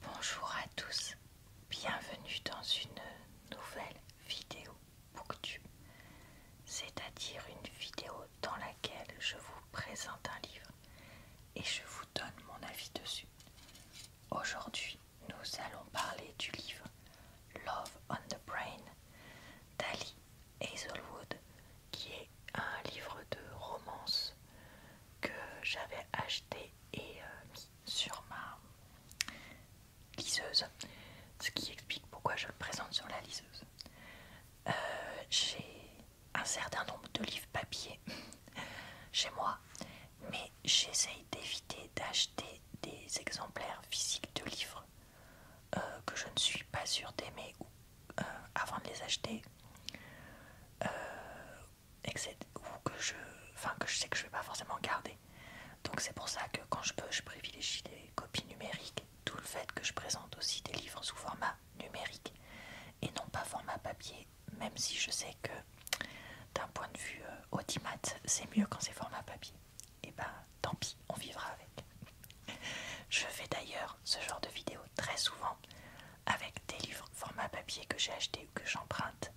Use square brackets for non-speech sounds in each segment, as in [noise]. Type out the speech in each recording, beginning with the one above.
Bonjour à tous, bienvenue dans une nouvelle vidéo Booktube, c'est-à-dire une vidéo dans laquelle je vous présente un livre et je vous donne mon avis dessus. Aujourd'hui, nous allons parler du livre Love on the Brain d'Ali Hazelwood, qui est un livre de romance que j'avais acheté et euh, mis sur ma liseuse, ce qui explique pourquoi je le présente sur la liseuse. Euh, j'ai un certain nombre de livres papier [laughs] chez moi, mais j'essaye d'éviter d'acheter des exemplaires physiques de livres euh, que je ne suis pas sûre d'aimer avant de les acheter, ou que je, enfin, que je sais que je vais pas forcément garder. Donc c'est pour ça que quand je peux, je privilégie des copies numériques, tout le fait que je présente aussi des livres sous format numérique et non pas format papier, même si je sais que d'un point de vue euh, c'est mieux quand c'est format papier. Et eh bah ben, tant pis, on vivra avec. Je fais d'ailleurs ce genre de vidéo très souvent avec des livres format papier que j'ai acheté ou que j'emprunte,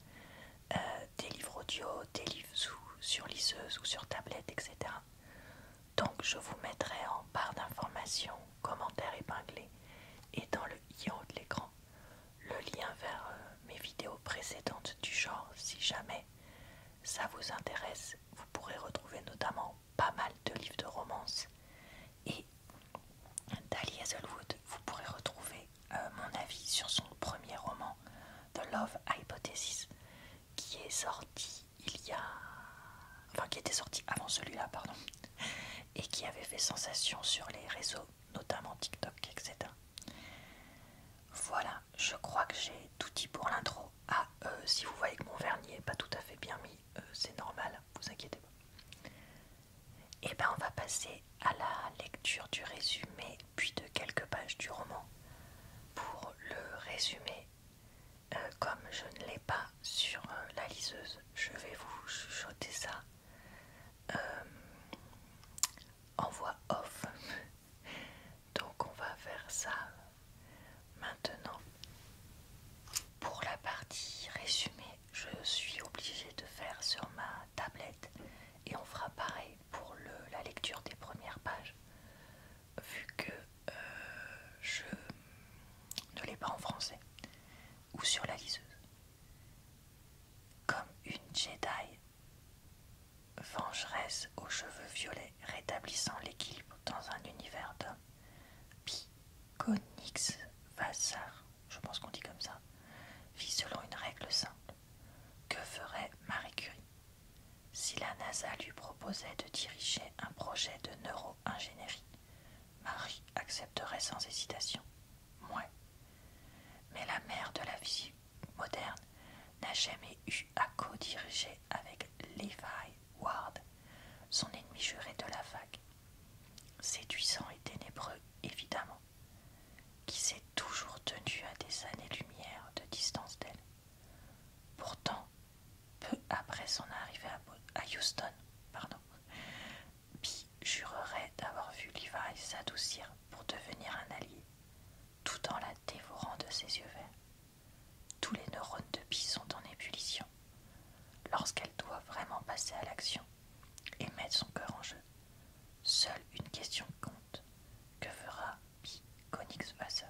euh, des livres audio, des livres sur liseuse ou sur tablette, etc. Donc je vous mettrai en barre d'informations, commentaires épinglés et dans le i de l'écran le lien vers euh, mes vidéos précédentes du genre si jamais ça vous intéresse. Vous pourrez retrouver notamment pas mal de livres de romance et d'Ali Hazelwood, vous pourrez retrouver euh, mon avis sur son premier roman, The Love Hypothesis, qui est sorti il y a. Enfin, qui était sorti avant celui-là, pardon, et qui avait fait sensation sur les réseaux, notamment TikTok, etc. Voilà, je crois que j'ai tout dit pour l'intro. Ah, euh, si vous voyez que mon vernis n'est pas tout à fait bien mis, euh, c'est normal, vous inquiétez pas. Et eh bien on va passer à la lecture du résumé, puis de quelques pages du roman. Pour le résumé, euh, comme je ne l'ai pas sur euh, la liseuse, je vais vous chuchoter ça euh, en voix off. [laughs] Donc on va faire ça maintenant. Pour la partie résumé je suis obligée de faire sur ma tablette et on fera pareil pour la lecture des premières pages vu que euh, je ne l'ai pas en français ou sur la liseuse. Comme une Jedi vengeresse aux cheveux violets rétablissant l'équilibre dans un univers d'hommes, Pi Vassar, je pense qu'on dit comme ça, vit selon une règle simple. Que ferait Marie Curie Si la NASA lui proposait de diriger un projet de neuro-ingénierie, Marie accepterait sans hésitation. Mouais. Mais la mère de la vie moderne n'a jamais eu à co-diriger avec Levi Ward, son ennemi juré de la fac, séduisant et ténébreux évidemment, qui s'est toujours tenu à des années-lumière de distance d'elle. Pourtant, peu après son arrivée à Houston, pardon, jurerait d'avoir vu Levi s'adoucir pour devenir un allié, tout en la dévorant de ses yeux verts. Tous les neurones de Pi sont en ébullition lorsqu'elle doit vraiment passer à l'action et mettre son cœur en jeu. Seule une question compte. Que fera Pi basser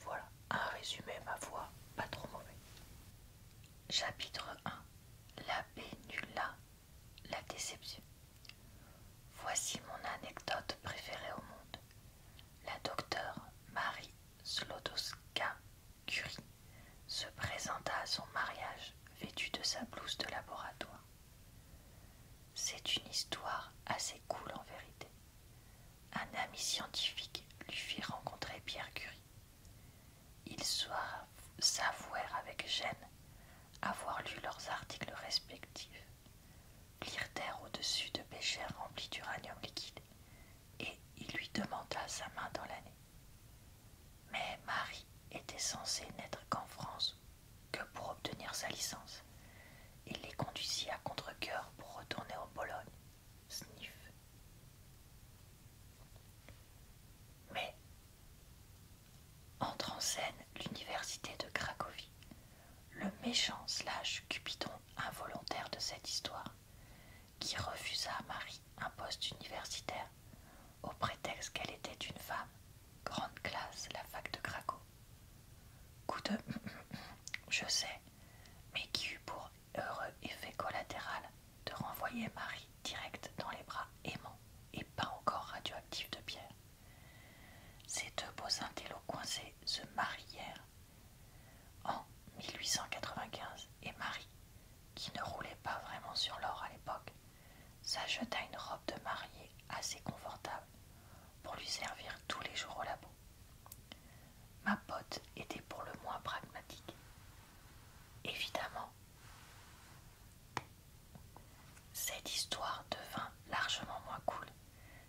Voilà, un résumé, ma voix, pas trop mauvais. Chapitre 1 La pénula, la déception. Voici mon anecdote préférée au monde. La docteure Marie Slodowska Curie se présenta à son mariage vêtu de sa blouse de laboratoire. C'est une histoire assez cool en vérité. Un ami scientifique lui fit rencontrer Pierre Curie. Ils s'avouèrent avec gêne avoir lu leurs articles respectifs, lire terre au-dessus de péchères remplis d'uranium liquide et il lui demanda sa main dans l'année. Mais Marie était censée n'être qu'en France que pour obtenir sa licence. Il les conduisit à contrecoeur pour retourner en Pologne. Sniff. Mais entre en scène l'université de Cracovie. Le méchant slash Cupidon involontaire de cette histoire, qui refusa à Marie un poste universitaire au prétexte qu'elle était une femme, grande classe, la fac de Craco. Coup de [clears throat] je sais, mais qui eut pour heureux effet collatéral de renvoyer Marie direct dans les bras aimants et pas encore radioactifs de Pierre. Ces deux beaux intellos coincés se marièrent en 1895, et Marie, qui ne roulait pas vraiment sur l'or à l'époque, s'acheta une robe de mariée assez confortable pour lui servir tous les jours au labo. Ma pote était pour le moins pragmatique. Évidemment, cette histoire devint largement moins cool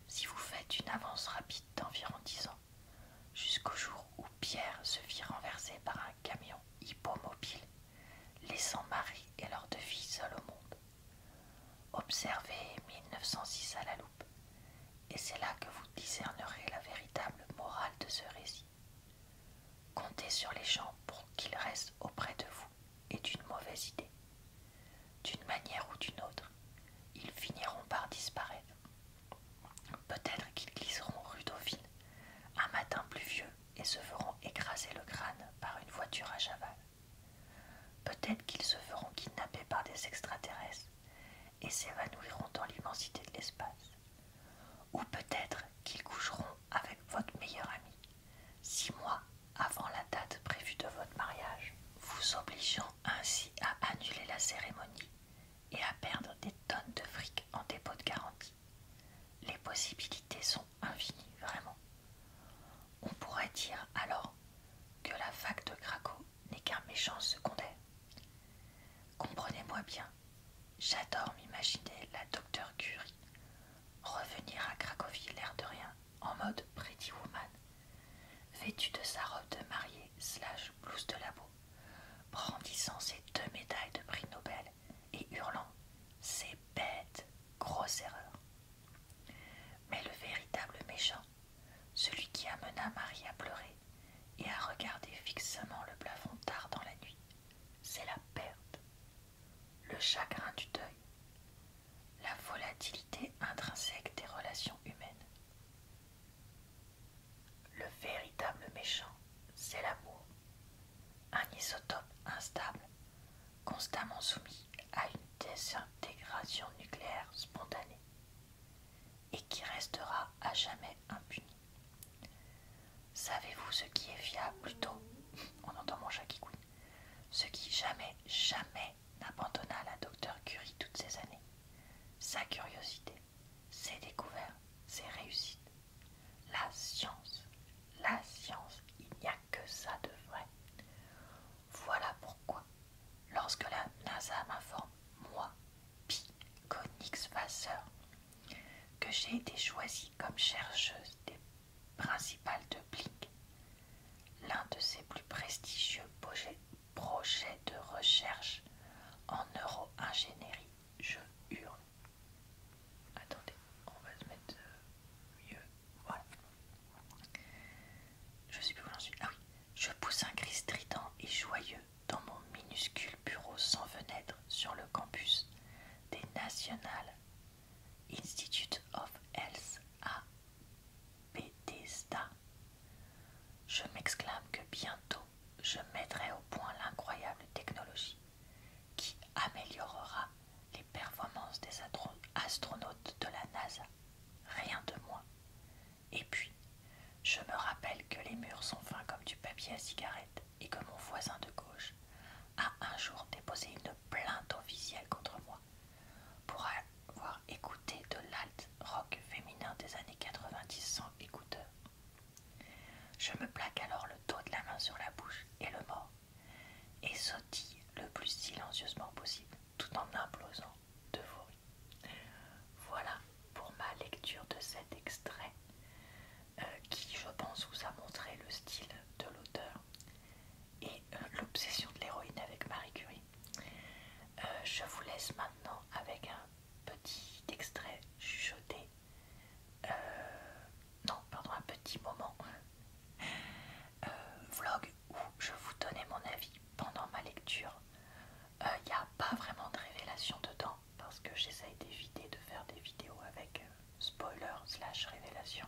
si vous faites une avance rapide d'environ 10 ans jusqu'au jour où Pierre se fit renverser par un camion hippomobile, laissant Marie et leurs deux filles seules au monde. Observez 1906 à la loupe, et c'est là que vous discernerez la véritable morale de ce récit. Comptez sur les gens pour qu'ils restent auprès de vous est d'une mauvaise idée. D'une manière ou d'une autre, ils finiront par disparaître. Peut-être qu'ils glisseront rue Dauphine, un matin pluvieux, et se feront écraser le crâne par une voiture à cheval. Peut-être qu'ils se feront kidnapper par des extraterrestres et s'évanouiront dans l'immensité de l'espace. Ou peut-être qu'ils coucheront avec votre meilleur ami, six mois avant la date prévue de votre mariage, vous obligeant ainsi à annuler la cérémonie et à perdre des tonnes de fric en dépôt de garantie. Les possibilités sont infinies, vraiment. On pourrait dire alors que la fac de Craco n'est qu'un méchant secondaire. Comprenez-moi bien, j'adore m'imaginer la docteur Curie revenir à Cracovie l'air de rien en mode Pretty Woman Vêtue de sa robe de mariée slash blouse de labo, brandissant ses deux médailles de prix Nobel et hurlant C'est bête, grosse erreur. Mais le véritable méchant, celui qui amena Marie à pleurer et à regarder fixement le plafond tard dans la nuit, c'est la perte, le chagrin du deuil, la volatilité intrinsèque des relations humaines, le véritable méchant, c'est l'amour, un isotope instable, constamment soumis à une désintégration nucléaire spontanée, et qui restera à jamais impuni. Savez-vous ce qui est fiable plutôt On entend mon chat qui couille. Ce qui jamais, jamais n'abandonna la docteur Curie toutes ces années. Sa curiosité, ses découvertes, ses réussites. La science, la science, il n'y a que ça de vrai. Voilà pourquoi, lorsque la NASA m'informe, moi, Pi Vasseur, que j'ai été choisie comme chercheuse des principales de Blink, l'un de ses plus prestigieux projets, projet de recherche en neuro-ingénierie. Je hurle. Attendez, on va se mettre euh, mieux. Voilà. Je sais plus où j'en suis. Ah oui. Je pousse un cri strident et joyeux dans mon minuscule bureau sans fenêtre sur le campus des National Institute of Health à je m'exclame que bientôt je mettrai au point l'incroyable technologie qui améliorera les performances des astronautes de la NASA. Rien de moins. Et puis, je me rappelle que les murs sont fins comme du papier à cigarette et que mon voisin de gauche a un jour déposé une plainte officielle contre moi pour avoir Écouter de l'alt rock féminin des années 90 sans écouteurs. Je me plaque alors le dos de la main sur la bouche et le mort, et sautille le plus silencieusement possible, tout en implosant de vous Voilà pour ma lecture de cet extrait, euh, qui je pense vous a montré le style de l'auteur et euh, l'obsession de l'héroïne avec Marie Curie. Euh, je vous laisse maintenant avec un petit extrait chuchoté. Euh, non, pardon, un petit moment. Euh, vlog où je vous donnais mon avis pendant ma lecture. Il n'y a pas vraiment de révélation dedans parce que j'essaye d'éviter de faire des vidéos avec spoilers spoiler slash révélation.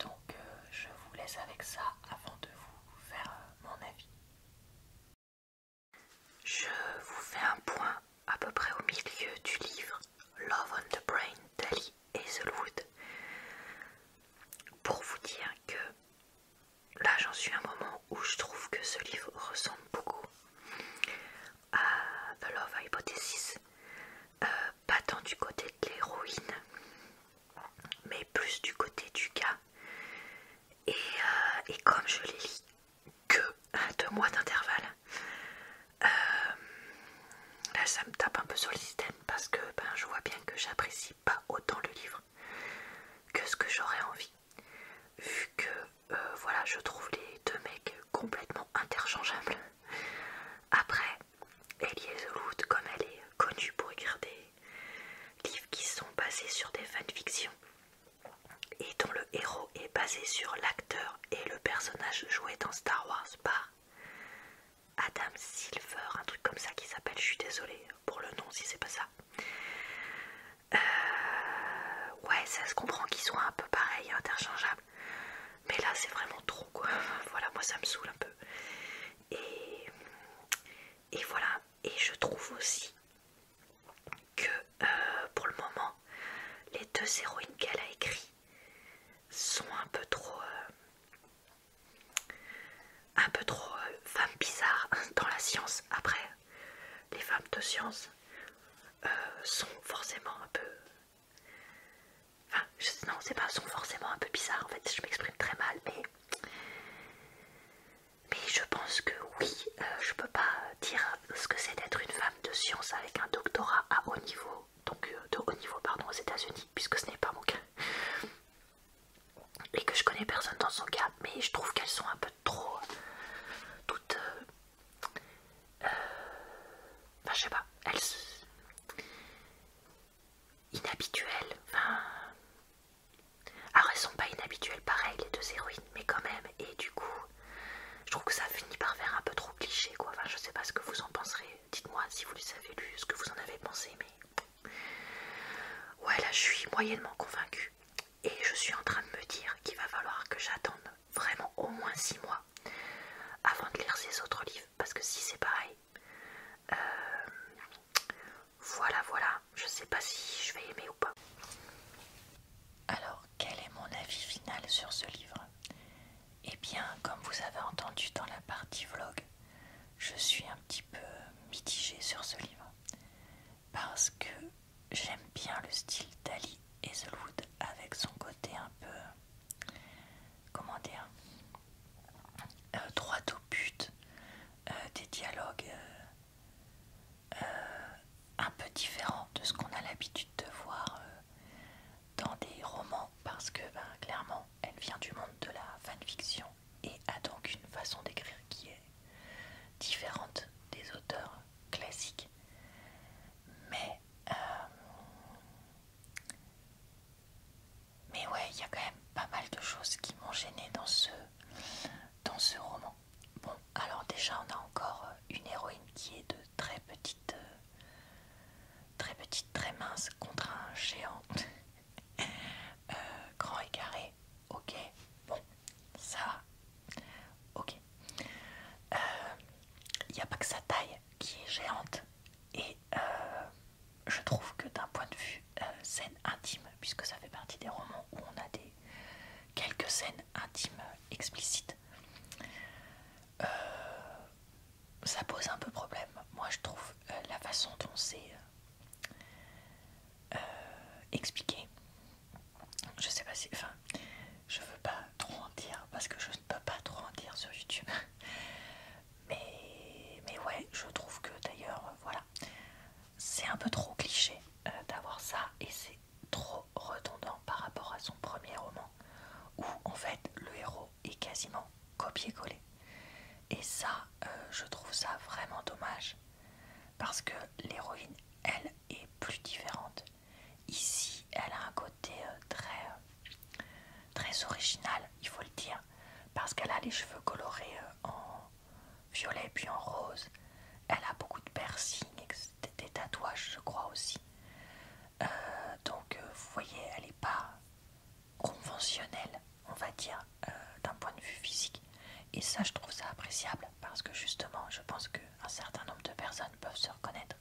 Donc je vous laisse avec ça avant de vous faire euh, mon avis. Je vous fais un point à peu près au milieu du livre Love on the Brain d'Ali Hazelwood pour vous dire que là j'en suis à un moment où je trouve que ce livre ressemble beaucoup à The Love Hypothesis, pas euh, tant du côté de l'héroïne mais plus du côté du gars. Euh, et, comme je les lis que à deux mois d'intervalle, euh, là ça me tape un peu sur le système parce que ben, je vois bien que j'apprécie pas autant le livre que ce que j'aurais envie. Vu que euh, voilà, je trouve les deux mecs complètement interchangeables. Après, Eliezeloud, comme elle est connue pour écrire des livres qui sont basés sur des fanfictions et dont le héros est basé sur l'acteur et le personnage joué dans Star Wars par Adam Silver, un truc comme ça qui s'appelle, je suis désolée pour le nom si c'est pas ça. Euh, ouais, ça se comprend qu'ils soient un peu pareils, interchangeables. Mais là, c'est vraiment trop quoi. [laughs] Voilà, moi ça me saoule un peu. Et, voilà, et je trouve aussi que euh, pour le moment, les deux héroïnes qu'elle a écrites sont un peu trop... Euh, un peu trop euh, femmes bizarres [laughs] dans la science. Après, les femmes de science sont forcément un peu... Enfin, je, non, c'est pas, sont forcément un peu bizarres en fait, je m'exprime très mal, mais mais je pense que oui, euh, je peux pas dire ce que c'est d'être une femme de science avec un doctorat à haut niveau, donc euh, de haut niveau pardon aux États-Unis, puisque ce n'est pas mon cas. Et que je connais personne dans son cas, mais je trouve qu'elles sont un peu trop euh, toutes. Enfin, je sais pas, elles inhabituelles. Enfin, alors ah. ah, elles sont pas inhabituelles pareil les deux héroïnes, mais quand même. Et du coup, je trouve que ça finit par faire un peu trop cliché quoi. Enfin, je sais pas ce que vous en penserez. Dites-moi si vous les avez lus, ce que vous en avez pensé, mais ouais là je suis moyennement convaincue. Et je suis en train de me dire qu'il va falloir que j'attende vraiment au moins 6 mois avant de lire ces autres livres parce que si c'est pareil, euh, voilà, voilà. Je sais pas si je vais aimer ou pas. Alors, quel est mon avis final sur ce livre Eh bien, comme vous avez entendu dans la partie vlog, je suis un petit peu mitigée sur ce livre. Parce que j'aime bien le style d'Ali Hazelwood avec son côté un peu... Comment dire droit au but, des dialogues euh, euh, un peu différents de ce qu'on a l'habitude de voir euh, dans des romans, parce que ben, clairement, elle vient du monde de la fanfiction et a donc une façon d'écrire qui est différente des auteurs classiques. Mais mais ouais, il y a quand même pas mal de choses qui m'ont gêné dans ce, dans ce roman. Bon, alors déjà, on a encore euh, une héroïne qui est de très petite, euh, très petite, très mince contre un géant [laughs] euh, grand et carré. Ok, bon, ça Ok. Il n'y a pas que sa taille qui est géante et je trouve que d'un point de vue euh, scène intime, puisque ça fait partie des romans où on a des quelques scènes intimes euh, explicites, euh, ça pose un peu problème. Moi, je trouve la façon dont c'est expliqué. Je sais pas si, enfin, je veux pas trop en dire parce que je ne peux pas trop en dire sur YouTube. [laughs] Mais, ouais, je trouve que d'ailleurs, euh, voilà, c'est un peu trop cliché euh, d'avoir ça et c'est trop redondant par rapport à son premier roman où en fait le héros est quasiment copié-collé. Et ça, euh, je trouve ça vraiment dommage parce que l'héroïne, elle, est plus différente. Ici, elle a un côté très, très original, il faut le dire parce qu'elle a les cheveux colorés euh, en violet puis en rose. Elle a beaucoup de piercings, des tatouages, je crois aussi. Euh, donc, euh, vous voyez, elle n'est pas conventionnelle, on va dire, d'un point de vue physique. Et ça, je trouve ça appréciable parce que justement, je pense qu'un certain nombre de personnes peuvent se reconnaître.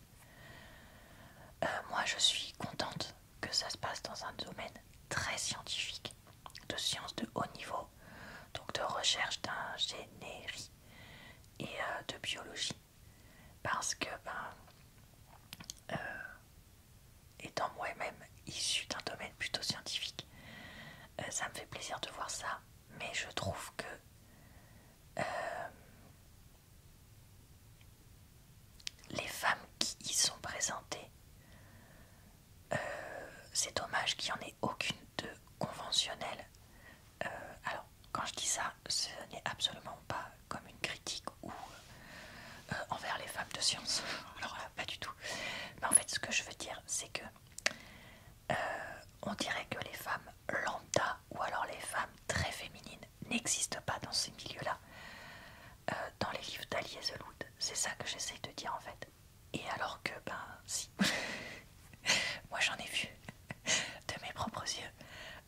moi, je suis contente que ça se passe dans un domaine très scientifique, de sciences de haut niveau, donc de recherche d'ingénierie et euh, de biologie. Parce que, ben, euh, étant moi-même issu d'un domaine plutôt scientifique, euh, ça me fait plaisir de voir ça, mais je trouve que les femmes qui y sont présentées, euh, c'est dommage qu'il n'y en ait aucune de conventionnelle. Euh, alors, quand je dis ça, ce n'est absolument pas comme une critique ou euh, envers les femmes de science. [laughs] Alors pas du tout. Mais en fait, ce que je veux dire, c'est que on dirait que les femmes lambda ou alors les femmes très féminines n'existe pas dans ces milieux-là, euh, dans les livres d'Ali Loud, C'est ça que j'essaye de dire en fait. Et alors que, ben si, [laughs] moi j'en ai vu [laughs] de mes propres yeux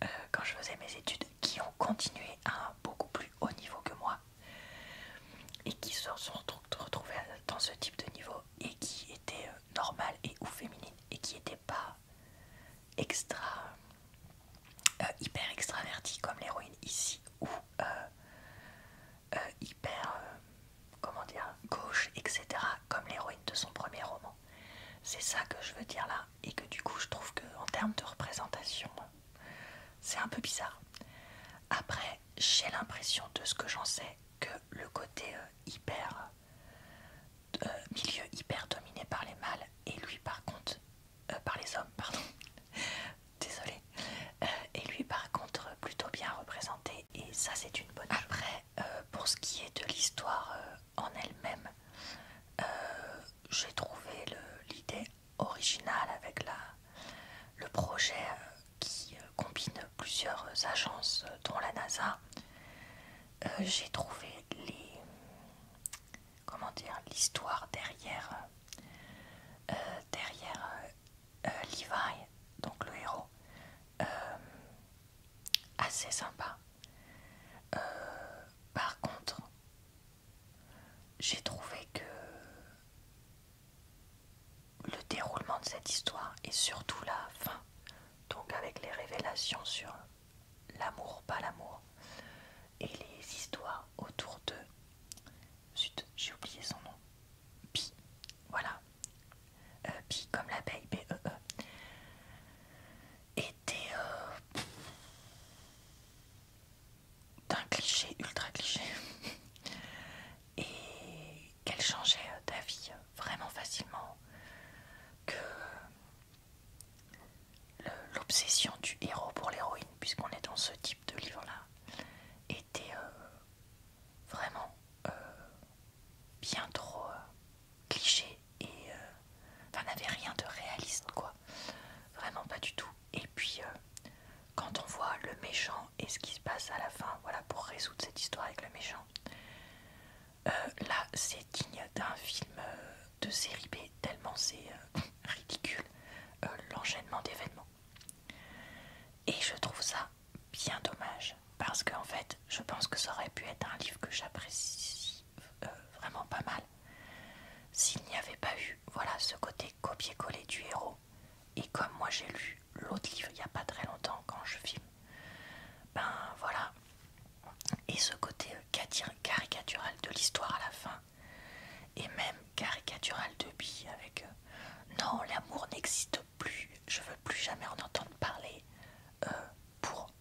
euh, quand je faisais mes études qui ont continué à un beaucoup plus haut niveau que moi et qui se sont retrouvés dans ce type de niveau et qui étaient euh, normales et ou féminines et qui n'étaient pas extra euh, hyper extraverti comme l'héroïne ici ou euh, euh, hyper comment dire gauche etc comme l'héroïne de son premier roman c'est ça que je veux dire là et que du coup je trouve que en termes de représentation c'est un peu bizarre après j'ai l'impression de ce que j'en sais que le côté hyper milieu hyper dominé par les mâles et lui par contre euh, par les hommes, pardon, [laughs] désolé. Euh, et lui, par contre, plutôt bien représenté, et ça, c'est une bonne Après, euh, pour ce qui est de l'histoire en elle-même, j'ai trouvé l'idée originale avec la, le projet qui combine plusieurs agences, dont la NASA. j'ai trouvé les comment dire, l'histoire derrière, euh, euh, derrière euh, donc le héros, assez sympa. par contre, j'ai trouvé que le déroulement de cette histoire et surtout la fin, donc avec les révélations sur l'amour, pas l'amour, et les histoires autour de. j'ai oublié son nom. Pi, voilà. Euh, Pi comme l'abeille, B-E-E. E. Était euh, d'un cliché, ultra cliché. [laughs] et qu'elle changeait euh, d'avis vraiment facilement. Que l'obsession du héros pour l'héroïne, puisqu'on est dans ce type de livre-là, était euh, vraiment euh, bien trop euh, cliché et enfin n'avait rien de réaliste, quoi. Vraiment pas du tout. Et puis, quand on voit le méchant et ce qui se passe à la fin, voilà, pour résoudre cette histoire avec le méchant, là, c'est digne d'un film de série B, tellement c'est euh, ridicule euh, l'enchaînement d'événements. Et je trouve ça bien dommage, parce que en fait, je pense que ça aurait pu être un livre que j'apprécie euh, vraiment pas mal s'il n'y avait pas eu voilà, ce côté copier-coller du héros. Et comme moi j'ai lu l'autre livre il n'y a pas très longtemps quand je filme, ben voilà, et ce côté euh, caricatural de l'histoire à la fin, et même caricatural de bi avec euh, non, l'amour n'existe plus, je veux plus jamais en entendre parler euh, pour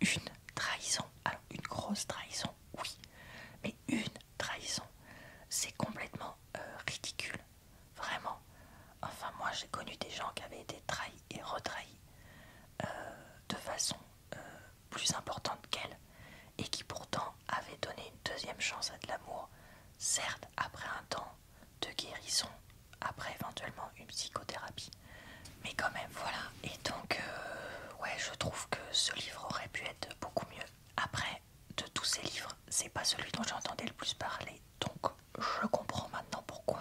une trahison. Alors, une grosse trahison, oui, mais une trahison, c'est complètement ridicule, vraiment. Enfin, moi j'ai connu des gens qui avaient été trahis et retrahis de façon euh, plus importante qu'elle et qui pourtant avait donné une deuxième chance à de l'amour, certes après un temps de guérison, après éventuellement une psychothérapie. Mais quand même, voilà. Et donc, euh, ouais, je trouve que ce livre aurait pu être beaucoup mieux. Après, de tous ces livres, c'est pas celui dont j'entendais le plus parler. Donc, je comprends maintenant pourquoi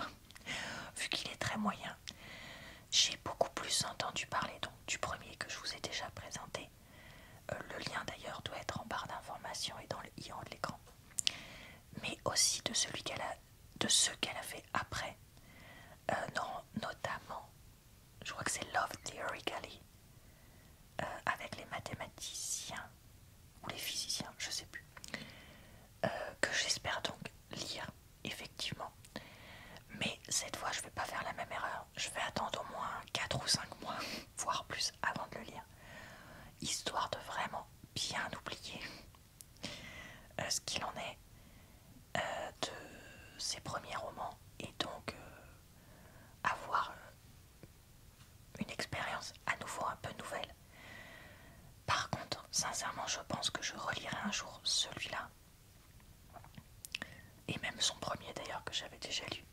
vu qu'il est très moyen. J'ai beaucoup plus entendu parler donc du premier que je vous ai déjà présenté. Euh, le lien d'ailleurs doit être en barre d'information et dans le i en de l'écran. Mais aussi de celui qu'elle a, de ce qu'elle a fait après. Euh, non, notamment, je crois que c'est Love Theory euh, avec les mathématiciens ou les physiciens, je sais plus. que j'espère donc lire effectivement. Mais cette fois, je vais pas faire la même erreur. Je vais attendre au moins 4 ou 5 mois, voire plus, avant de le lire. Histoire de vraiment bien oublier euh, ce qu'il en est euh, de ses premiers romans. Et donc, euh, avoir une expérience à nouveau un peu nouvelle. Par contre, sincèrement, je pense que je relirai un jour celui-là. Et même son premier d'ailleurs que j'avais déjà lu.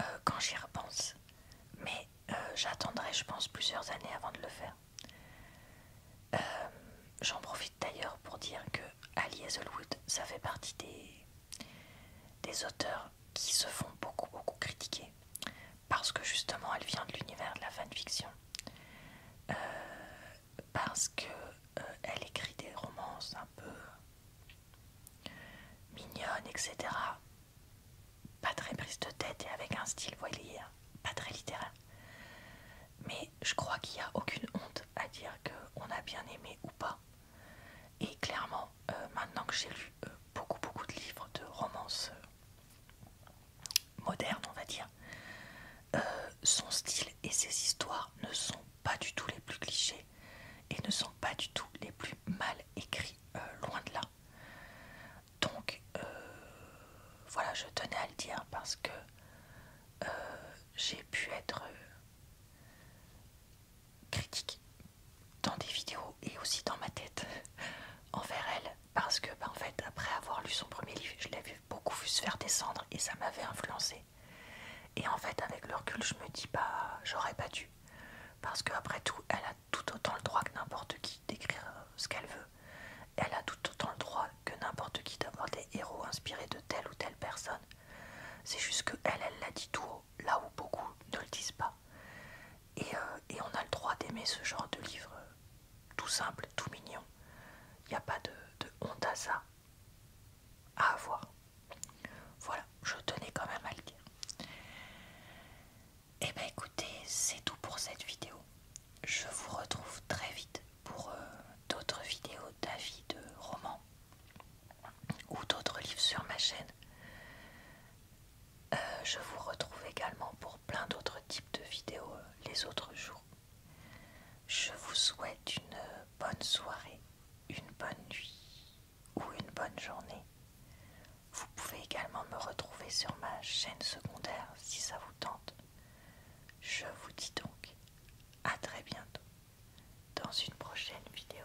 Euh, quand j'y repense. Mais euh, j'attendrai, je pense, plusieurs années avant de le faire. Euh, j'en profite d'ailleurs pour dire que Ali Hazelwood, ça fait partie des, des auteurs qui se font beaucoup, beaucoup critiquer. Parce que justement, elle vient de l'univers de la fanfiction. Euh, parce que euh, écrit des romances un peu mignonnes, etc. Pas très prise de tête et avec un style, vous pas très littéraire. Mais je crois qu'il n'y a aucune honte à dire qu'on a bien aimé ou pas. Et clairement, euh, maintenant que j'ai lu beaucoup beaucoup de livres de romances moderne, on va dire. Euh, son style et ses histoires ne sont pas du tout les plus clichés et ne sont pas du tout les plus mal écrits, euh, loin de là. Donc, euh, voilà, je tenais à le dire parce que j'ai pu être critique dans des vidéos et aussi dans ma tête [laughs] envers elle parce que, ben, en fait, après avoir lu son premier livre, je vu beaucoup vu se faire descendre et ça m'avait influencé. Et en fait, avec le recul, je me dis, bah, j'aurais pas dû. Parce qu'après tout, elle a tout autant le droit que n'importe qui d'écrire euh, ce qu'elle veut. Elle a tout autant le droit que n'importe qui d'avoir des héros inspirés de telle ou telle personne. C'est juste que elle, elle l'a dit tout haut, là où beaucoup ne le disent pas. Et, euh, et on a le droit d'aimer ce genre de livre euh, tout simple, tout mignon. Il n'y a pas de, honte à ça à avoir. Voilà, je tenais quand même à le dire. Et eh ben écoutez, c'est tout pour cette vidéo. Je vous retrouve très vite pour euh, d'autres vidéos d'avis de romans ou d'autres livres sur ma chaîne. Euh, je vous retrouve également pour plein d'autres types de vidéos euh, les autres jours. Je vous souhaite une bonne soirée, une bonne nuit ou une bonne journée. Vous pouvez également me retrouver sur ma chaîne secondaire si ça vous tente. Je vous dis donc à très bientôt dans une prochaine vidéo.